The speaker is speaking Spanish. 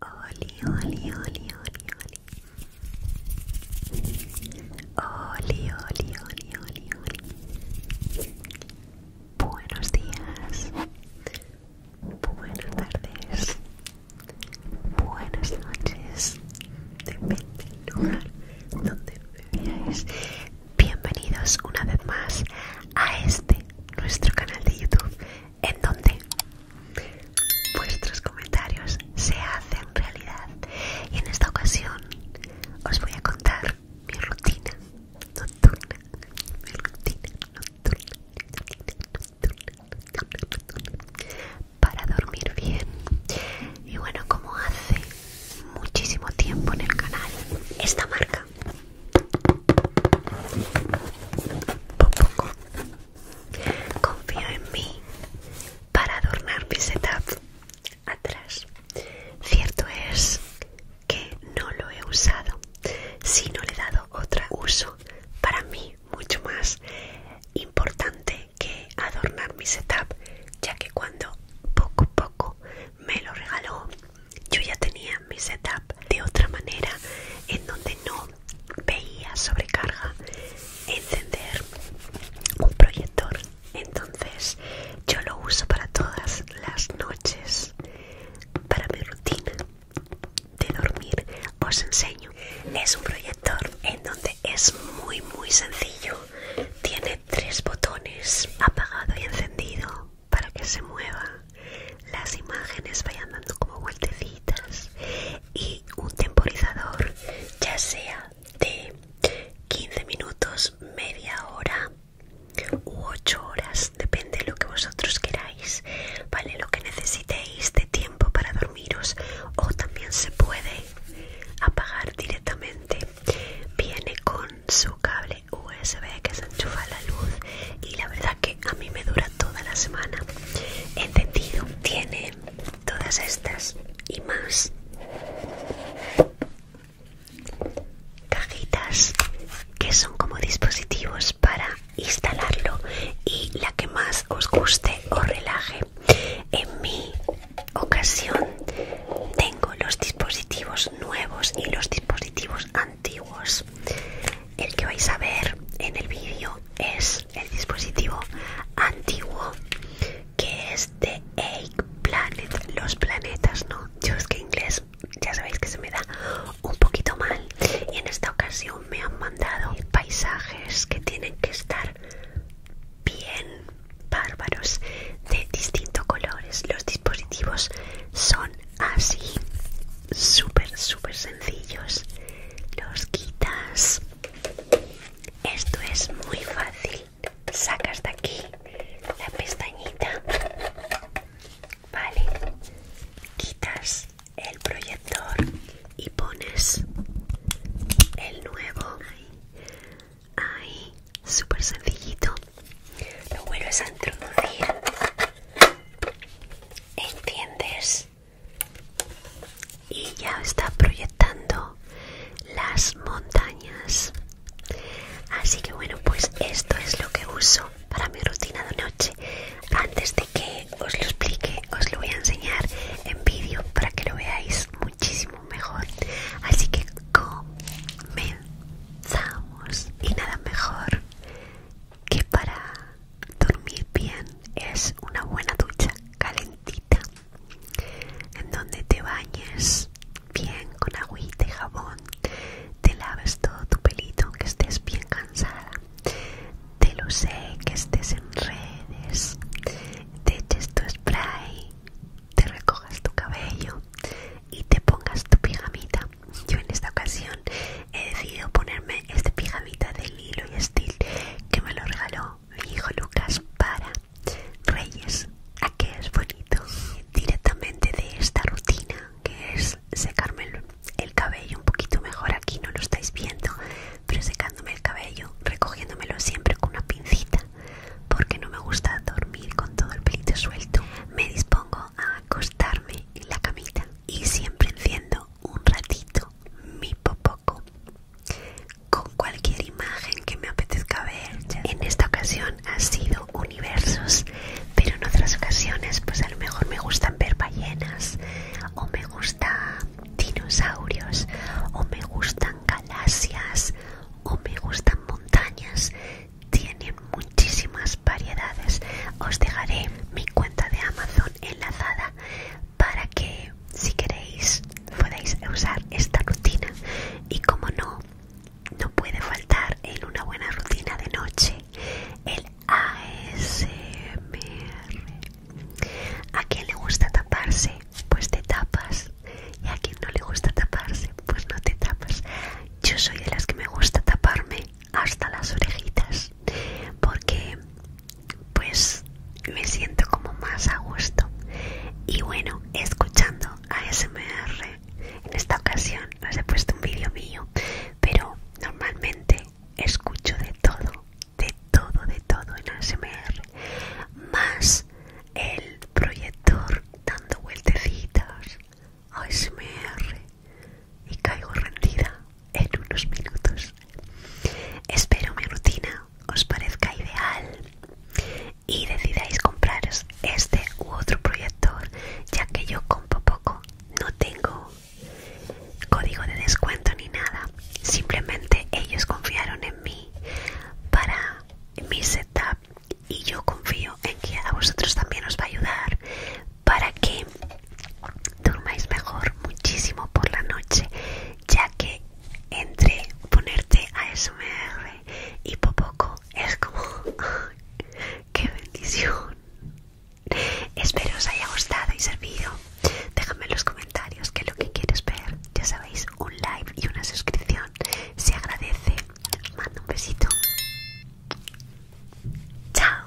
Oli, oli, oli, oli, oli. Oli, oli, oli, oli, oli. Buenos días. Buenas tardes. Buenas noches. Depende del lugar donde me veáis. Bienvenidos una vez más a este, nuestro canal de YouTube en donde vuestros comentarios se hacen realidad. Y en esta ocasión os voy a contar mi rutina nocturna, mi rutina nocturna, para dormir bien. Y bueno, como hace muchísimo tiempo en el canal, esta marca, Confío en mí para adornar mi setup atrás. Cierto es que no lo he usado, sino le he dado otro uso para mí mucho más importante que adornar mi setup, ya que cuando poco a poco me lo regaló, yo ya tenía mi setup de otra manera en donde no veía sobrecarga encender un proyector entonces yo lo uso para todas las noches para mi rutina de dormir os enseño es un proyector en donde es muy muy sencillo tiene tres botones apagado y encendido para que se mueva las imágenes vayan dando como vueltecitas y un temporizador, ya sea de 15 minutos, media hora u 8 horas, depende de lo que vosotros queráis, vale lo que necesitéis de tiempo para dormiros o también se puede apagar directamente. Viene con su cable USB que se enchufa a la luz y la verdad que a mí me dura toda la semana. Entendido, tiene todas estas y más cajitas que son como dispositivos para instalarlo y la que más os guste o relaje. En mi ocasión tengo los dispositivos nuevos y los dispositivos antiguos. El que vais a ver en el vídeo es el dispositivo antiguo que es de Egg Planet, los planetas, ¿no? Yo es que inglés ya sabéis que se me da un poquito mal y en esta ocasión me han mandado paisajes que tienen que estar bien bárbaros de distintos colores. Los dispositivos son así súper súper sencillos los quitas esto es muy fácil sacas de aquí la pestañita vale quitas el proyector y pones el nuevo ahí súper sencillito lo vuelves a introducir entiendes y ya está proyectando las montañas así que bueno pues esto es lo que uso para mi rutina de noche antes de que os lo explique os lo voy a enseñar en vídeo para que lo veáis muchísimo mejor así que comenzamos y nada mejor que para dormir bien es una buena ducha calentita en donde te bañes bien con agüita y jabón, te laves todo tu pelito aunque estés bien cansada, te lo sé que estés en redes, te eches tu spray, te recojas tu cabello y te pongas tu pijamita. Yo en esta ocasión he decidido ponerme este pijamita de Lilo y Steel que me lo regaló mi hijo Lucas para Reyes. ¿A ah, qué es bonito? Directamente de esta rutina que es secarme el, cabello un poquito mejor. Aquí no lo estáis viendo, pero secándome el cabello, recogiéndomelo siempre con una pincita porque no me gusta dormir con todo el pelito suelto. Me dispongo a acostarme en la camita y siempre enciendo un ratito mi popó con cualquier imagen que me apetezca ver. En esta ocasión ha sido universos, pero en otras ocasiones pues a lo mejor me gustan ver ballenas o me gustan dinosaurios o me gustan galaxias o me gustan montañas. Tienen muchísimas variedades. Os dejaré mi cuenta de Amazon enlazada para que si queréis podáis usar esta rutina y como no no puede faltar en una buena rutina de noche el ASMR a quien le gusta taparse pues te tapas y a quien no le gusta taparse pues no te tapas yo soy de las que me gusta taparme hasta las orejitas porque pues me siento como más a gusto y bueno escuchando ASMR en esta ocasión les he puesto un vídeo mío pero normalmente escucho de todo de todo de todo en ASMR más el proyector dando vueltecitas ASMR y caigo rendida en unos minutos. Espero mi rutina os parezca ideal y decidáis compraros este u otro proyector, ya que yo compro poco, no tengo código de descuento ni nada. Simplemente ellos confiaron en mí para mi setup y yo confío en que a vosotros también os va a ayudar para que durmáis mejor muchísimo por la noche ya que entre ponerte a smr y poco es como qué bendición espero os haya gustado y servido déjame en los comentarios qué es lo que quieres ver ya sabéis un like y una suscripción se agradece mando un besito chao